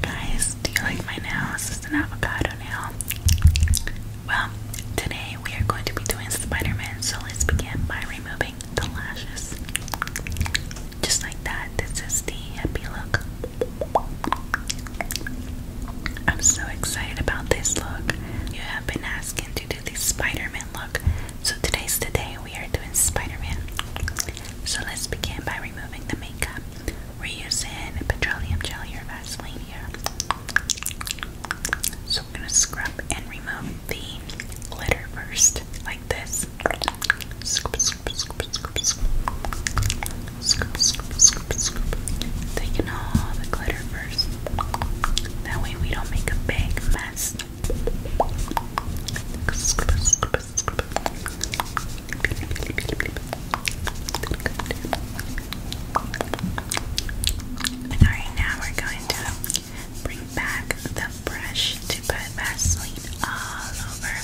Guys, do you like my nails? This is an avocado nail. Well, today we are going to be doing Spider so let's begin by removing the lashes. Just like that, this is the happy look. I'm so excited about this look. You have been asking to do the Spider Man so today's the day we are doing Spider-Man. So let's begin by removing the makeup. We're using petroleum jelly here, Vaseline here. So we're gonna scrub and remove the glitter first, like this. Scoop, scoop, scoop, scoop, scoop. Scoop, scoop, scoop, scoop. Taking all the glitter first. That way we don't make a big mess. And alright, now we're going to bring back the brush to put Vaseline all over.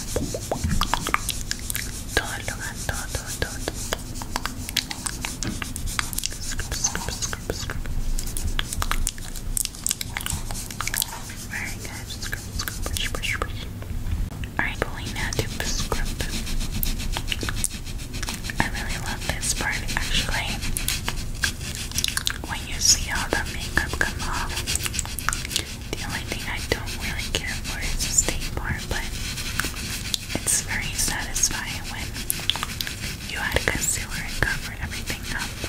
Alright guys, scrub, scrub, brush, brush, brush. Alright, pulling now the scrub. I really love this part actually. When you see all the makeup come off, the only thing I don't really care for is the stain part, but it's very satisfying when you add concealer and cover everything up.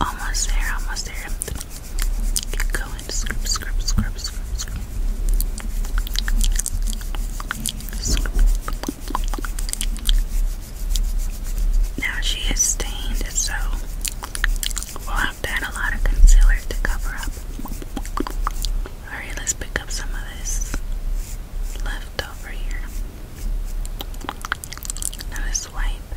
Almost there, almost there. Keep going. Now she is stained, so have to add a lot of concealer to cover up. Alright, let's pick up some of this left here. let's wipe.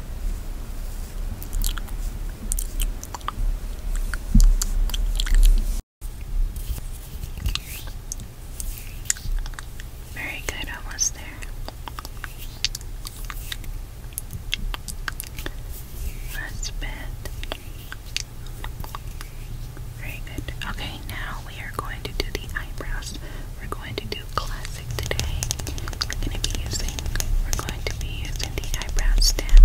Very good, almost there. Let's very good. Okay, now we are going to do the eyebrows. We're going to do classic today. We're going to be using, we're going to be using the eyebrow stamp.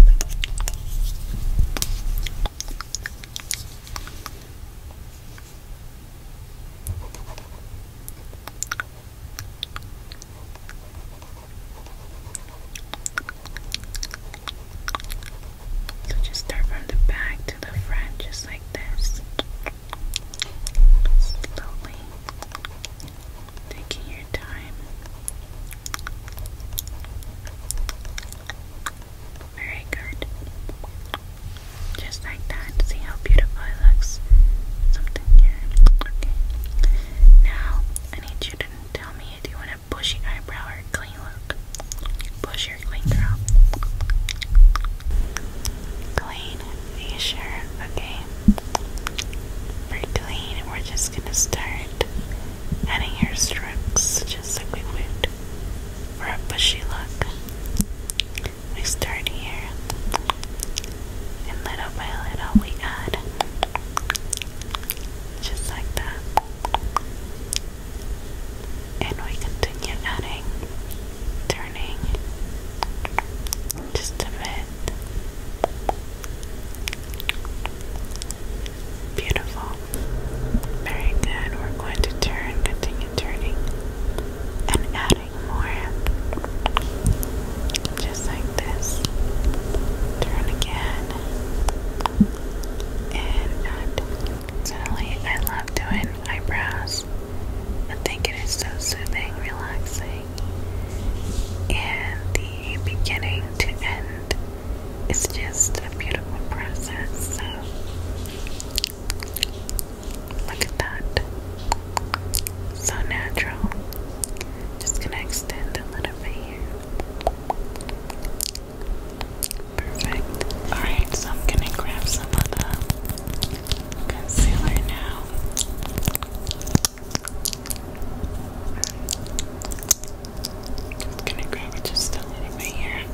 So just start from the back to the front, just like this. Slowly taking your time. Very good. Just like that. See how beautiful it looks. Something here. Okay. Now I need you to didn't tell me if you want a bushy eyebrow or a clean look. Bushy or clean girl. Clean, sure? Okay. For clean, we're just gonna start adding your strokes, just like we would for a bushy look. We start here, and little by little we add just like that. And we continue adding, turning just a bit. Beautiful. Very good. We're going to turn, continue turning and adding more just like this. Turn again. And not. I love doing eyebrows. I think it is so soothing, relaxing. And the beginning to end is just a beautiful process. So, look at that. So natural. Just gonna extend a little Perfect. Alright, so I'm gonna grab some of the concealer now. Just gonna grab just a little bit here.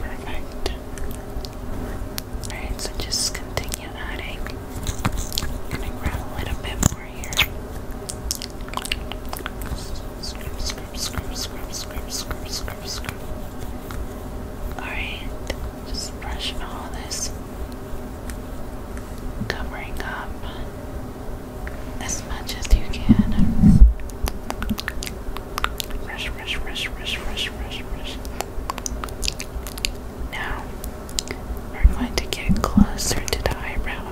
Perfect. Alright, so just continue adding. I'm going a bit more here. Scrub, scrub, scrub, scrub, scrub, scrub, scrub, scrub. Alright, just brush all this covering up as much as you can. Brush, brush, brush, brush, brush, brush, brush. Now we're going to get closer to the eyebrow,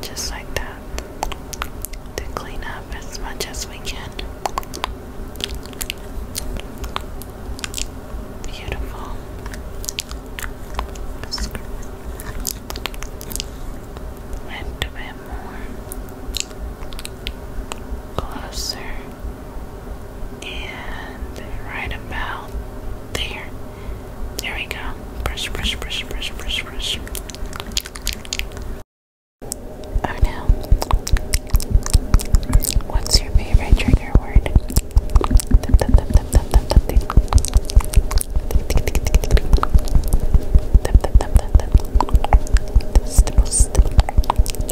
just like that, to clean up as much as we can. Beautiful. And a bit more closer and right about there. There we go. Brush, brush, brush, brush, brush, brush. Oh no. What's your favorite trigger word? Stipple, stipple.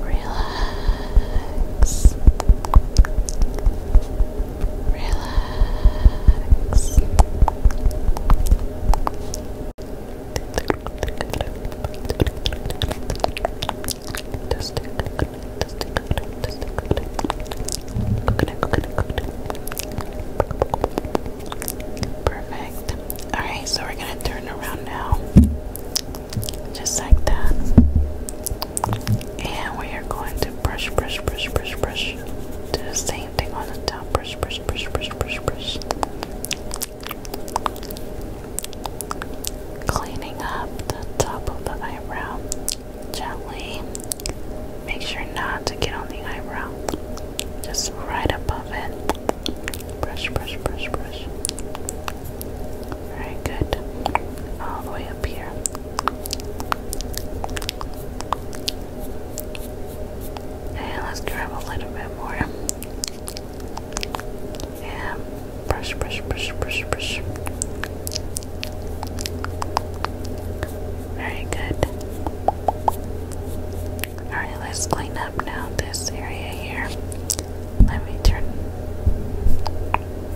Relax. Relax. Perfect. All right, so we're going to turn around now. Just like that. And we are going to brush, brush, brush, brush, brush. Do the same thing on the top. Brush, brush, brush, brush, brush, brush. Cleaning up the top of the eyebrow gently. Make sure not to get on the eyebrow. Just right above it. Brush, brush, brush, brush. Very good. All the way up here. And let's grab a little bit more. And brush, brush, brush, brush, brush. Very good. Alright, let's clean up now this area here. Let me turn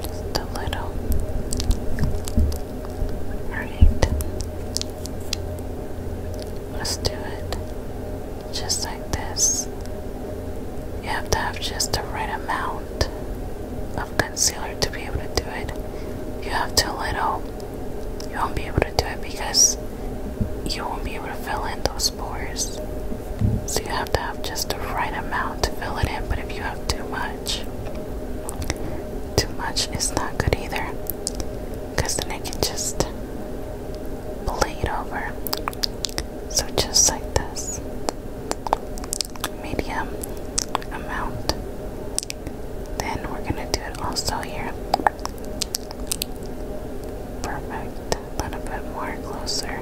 just a little. Alright. Let's do it. Just like this. You have to have just the right amount of concealer to be able to do it. You have too little, you won't be able to do it because you won't be able to fill in those pores. So you have to have just the right amount to fill it in, but if you have too much, too much is not good either. Because then it can just bleed over. So just like this. Medium amount. Then we're gonna do it also here. Perfect. A little bit more closer.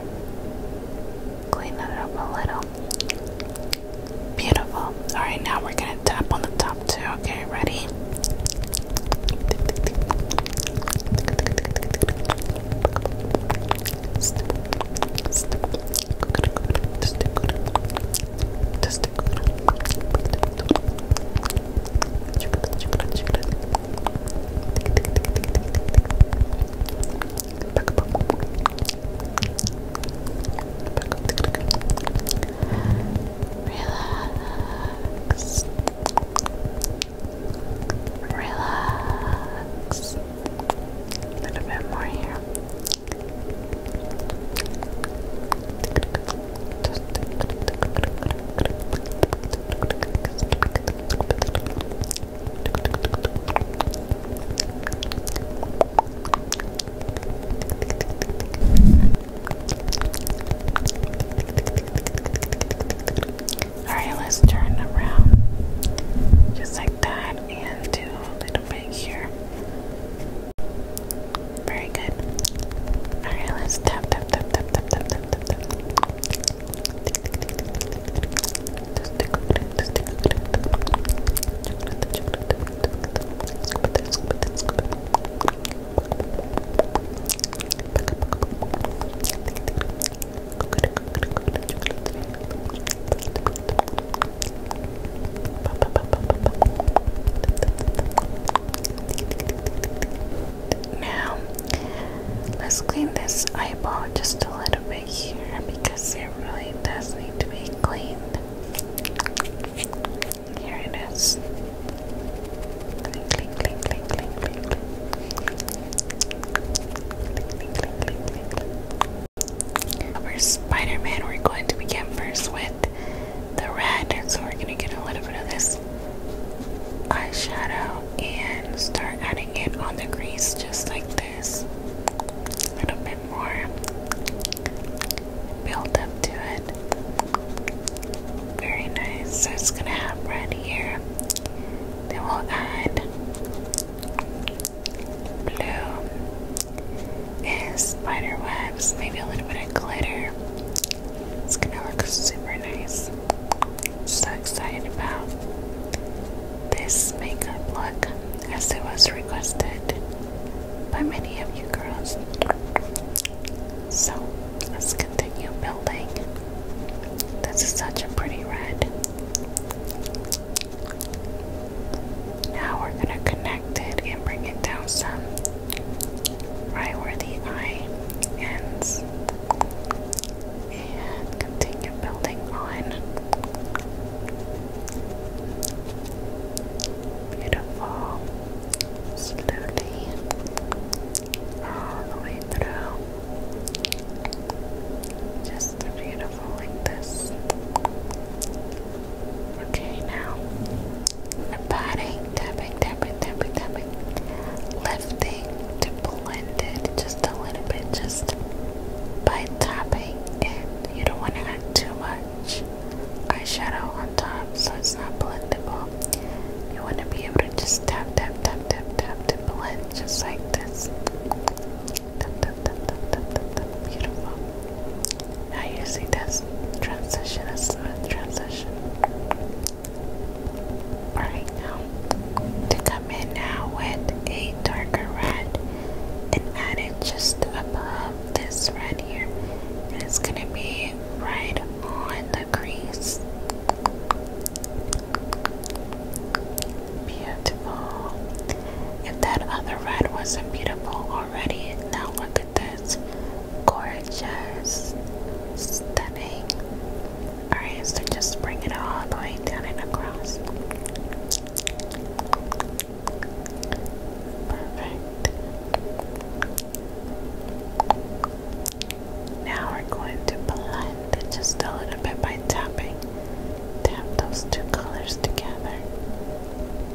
Clean it up a little. Beautiful. Alright, now we're gonna tap on the top too. Okay, ready? Relax. Relax. A little bit more here. Alright, let's turn around just like that and do a little bit here. Very good. Alright, let's tap, tap, tap, tap, tap, tap, tap, tap, tap. Now, let's clean this eyeball just a little bit here because it really does need to be cleaned. Here it is. For Spider we're going to begin first with the red, so we're going to get a little bit of this eyeshadow and start adding it on the crease just like this. A little bit more build to it. Very nice. So it's gonna have red here. Then we'll add blue and spider webs, maybe a little bit of glitter. It's gonna look super nice. So excited about this makeup look as it was requested by many of you girls. So let's continue building. This is such a pretty red. Now we're gonna connect it and bring it down some right where the eye ends and continue building on. Beautiful. Slowly all the way through. Just beautiful like this. Okay, now Tapping, tapping, tapping, tapping, tapping, lifting to blend it just a little bit, just by tapping it. You don't want to add too much eyeshadow on top so it's not blendable. You want to be able to just tap, tap, tap, tap, tap to blend just like this. tap, tap, tap, tap, tap, tap. Beautiful. Now you see this transition, a smooth transition. Alright now, to come in now with a darker red and add it just above this red here. And it's gonna be right on the crease. Beautiful. If that other red wasn't beautiful already, now look with this gorgeous, stunning. Alright, so just bring it all the way down and across. Perfect. Now we're going to blend it just a little bit by tapping. Tap those two colors together.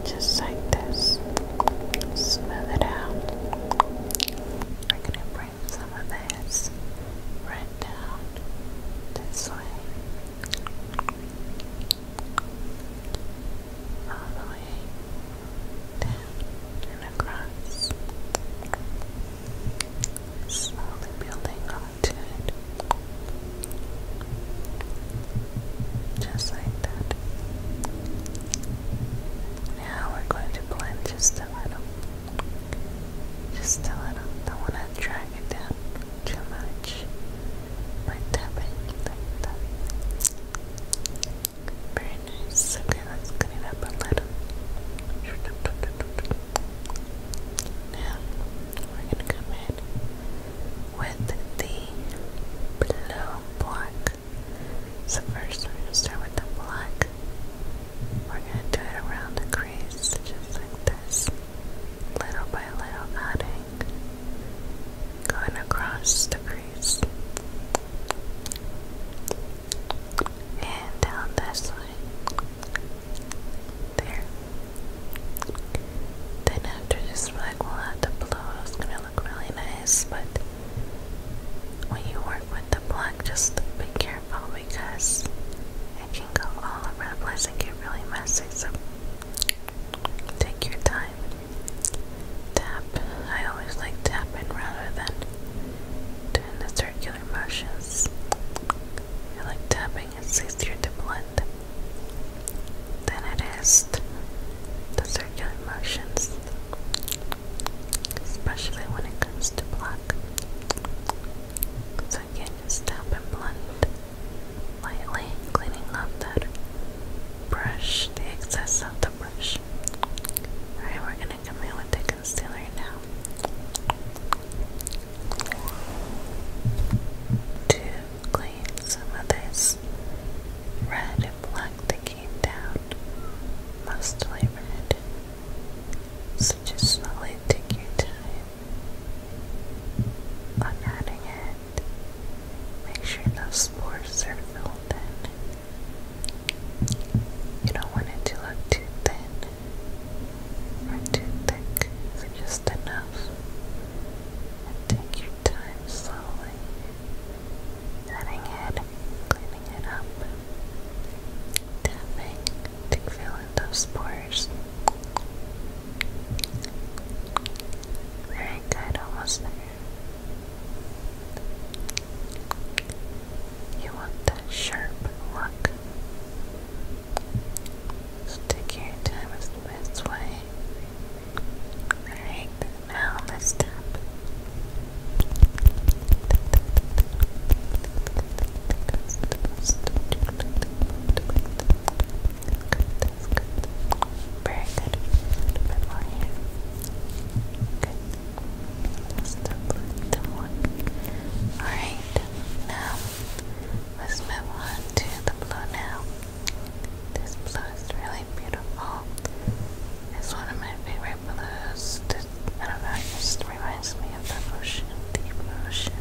Just like this. Smooth it out. We're going to bring some of this right down this way. All the way down and across. Slowly building onto it. Just like that. Now we're going to blend just a little. Just a little. Don't want to drag it down too much by tapping like that. Very nice. Okay, let's clean up a little. Now we're gonna come in with the blue black so first we're gonna start with the black. We're gonna do it around the crease, just like this. Little by little adding. Going across the crease. And down this way. There. Then after this black we'll add the blue look really nice, but when you work with the black, just be careful because it can go all over the place and get really messy. So take your time. Tap. I always like tapping rather than doing the circular motions. I like tapping, it's easier to blend than it is the circular motions, especially when it comes to block. So again, just tap and blend lightly, cleaning up that brush, the excess of the brush. Alright, we're gonna come in with the concealer now. To claimed some others. Red and black that came down, mostly red. So just slowly take your time on adding it. Make sure those spores are filled in. You don't want it to look too thin or too thick, just enough. take your time slowly, setting it, cleaning it up, tapping to those pores. Very good, almost there. You want that sharp look. take your time as the best way. Alright, now let's tap. Very good. A Good. Let's delete the Alright, now let's move on to the blue now. This blue is really beautiful. It's one of my favorite blues. This, reminds me of the ocean, deep ocean.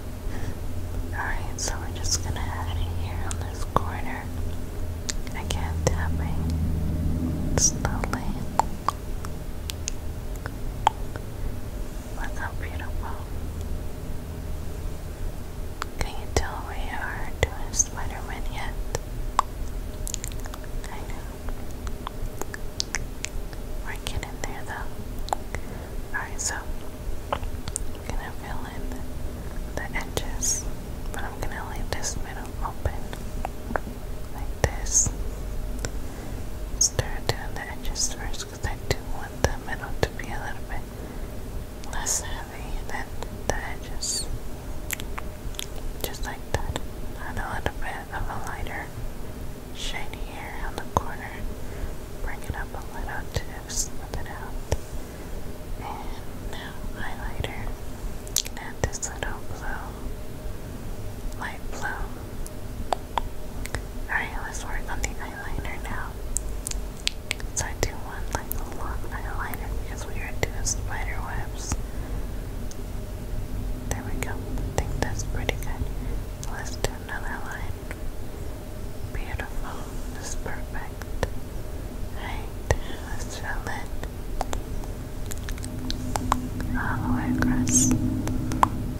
Alright, so we're just gonna add it here on this corner. Again, tapping slowly. Look how beautiful. Can you tell we are doing Spider yet? I know. We're getting there though. Alright, so I'm gonna fill in the, edges, but I'm gonna leave this middle open like this. Start doing the edges first because I do want the middle to be a little bit less the, the, the Just like that. Add a little bit of a lighter shade on the corner. Bring it up a little to smooth it out. And now highlighter. Add this little blue, light blue. Alright, let's work on the eyeliner now. So I do want like a long eyeliner because we are doing spider webs. There we go. I think that's pretty good. Let's do another line. Beautiful. It's perfect. Right. Let's fill it all the way across.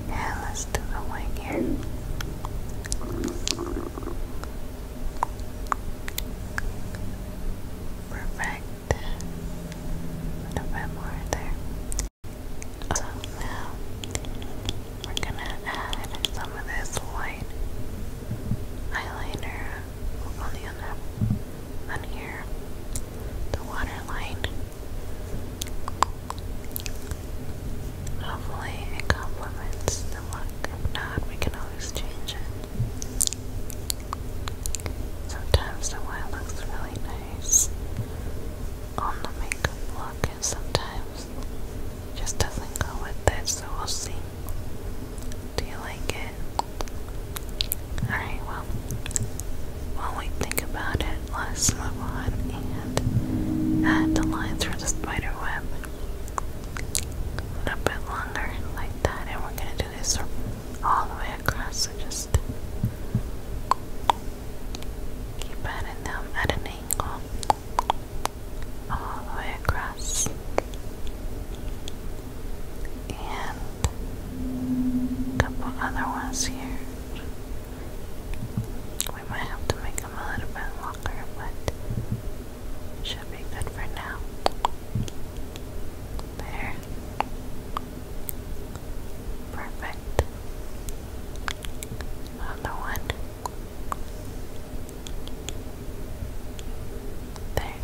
Yeah, let's do the wing here. Perfect. A bit more there. So now we're gonna add some of this white eyeliner on the other on here. The waterline. Hopefully it complements the look. If not, we can always change it. Sometimes the white looks really nice on the makeup look, and sometimes it just doesn't go with it, so we'll see. Do you like it? Alright, well, while we think about it, let's move on and add the lines for the spider web a bit longer like that and we're gonna do this all the way across just keep adding them at an all the way across and a couple other ones here we might have to make I'm a little bit longer, but should be good for now. There. Perfect. Another one. There.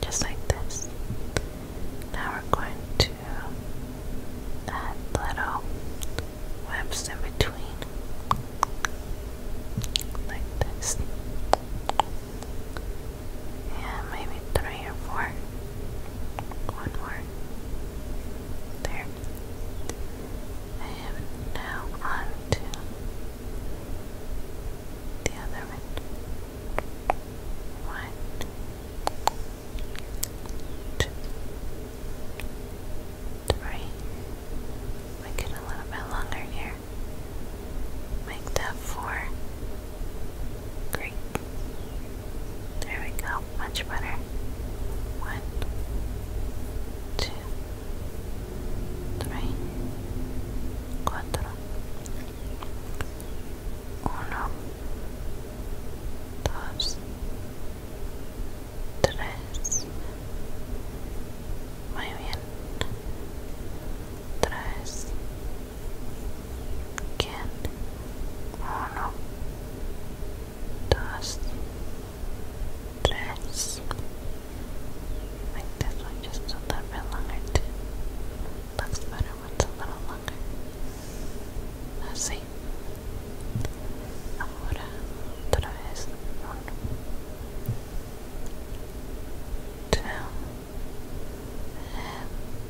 Just like this. Now we're going to add little webs in between, like this. Yeah, maybe three or four. One more. There. I am now on to the other one. One, two, three. Make it a little bit longer here. Make that four. Great. There we go. Much better. One, two, three, cuatro, uno, dos, tres, muy bien, tres, bien, uno, ah, dos, tres. this one, just a little bit longer Looks better when a little longer. Let's see. Ahora otra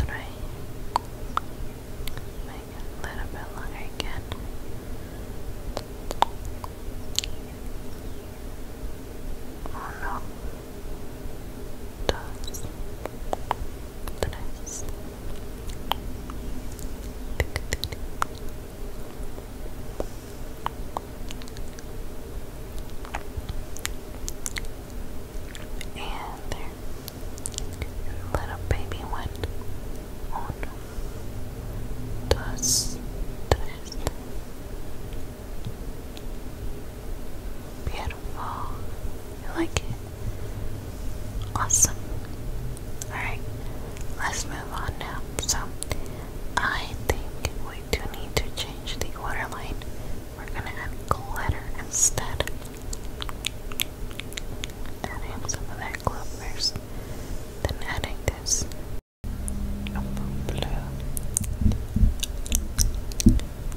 Make a little bit longer again. Uno, and there. Little baby one on dust, like it. Awesome. Alright, let's move on now. So, I think we do need to change the waterline. We're gonna add glitter instead. Adding some of that glue first, then adding this blue.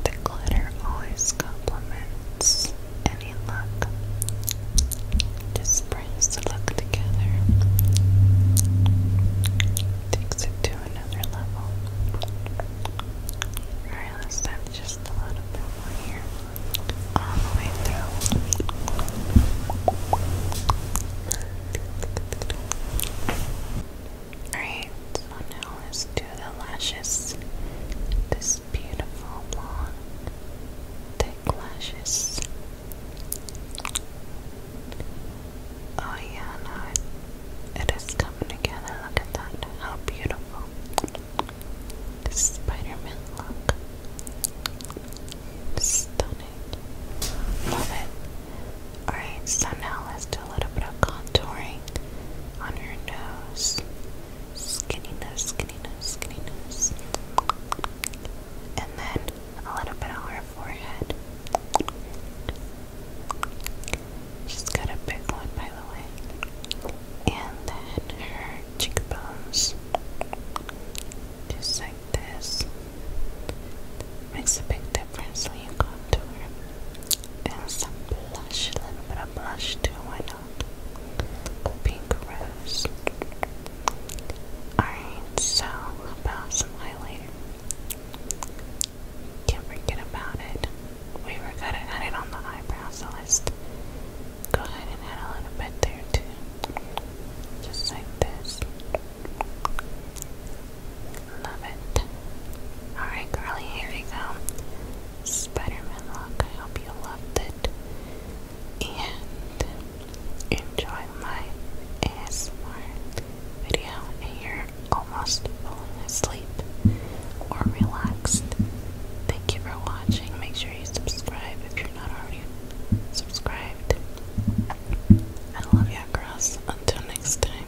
The glitter always complements any luck. Just brings the look together. Takes it to another level. Alright, let's tap just a little bit more here. All the way through. Alright, now let's do the lashes beautiful long, thick lashes. Oh yeah, no, it is coming together. Look at that. How beautiful. This Spider-Man look. Stunning. Love it. Alright, so now let's do a little bit of contouring on her nose skinniness, skinniness, skinniness. And then a little bit on her forehead. She's got a big one, by the way. And then her cheekbones. Just like this. Makes a big difference when you contour. And some blush, a little bit of blush too, why not? pink rose. Alright, so about some highlighter. Can't forget about it. We were gonna add it on the eyebrows, so let's go ahead and add a little bit there too. Just like this. Love it. Alright, girly, here you go. Spider-Man look. I hope you loved it and enjoy my ASMR video and you're almost falling asleep or relaxed. Thank you for watching. Make sure you subscribe if you're not already subscribed. I love you girls. Until next time.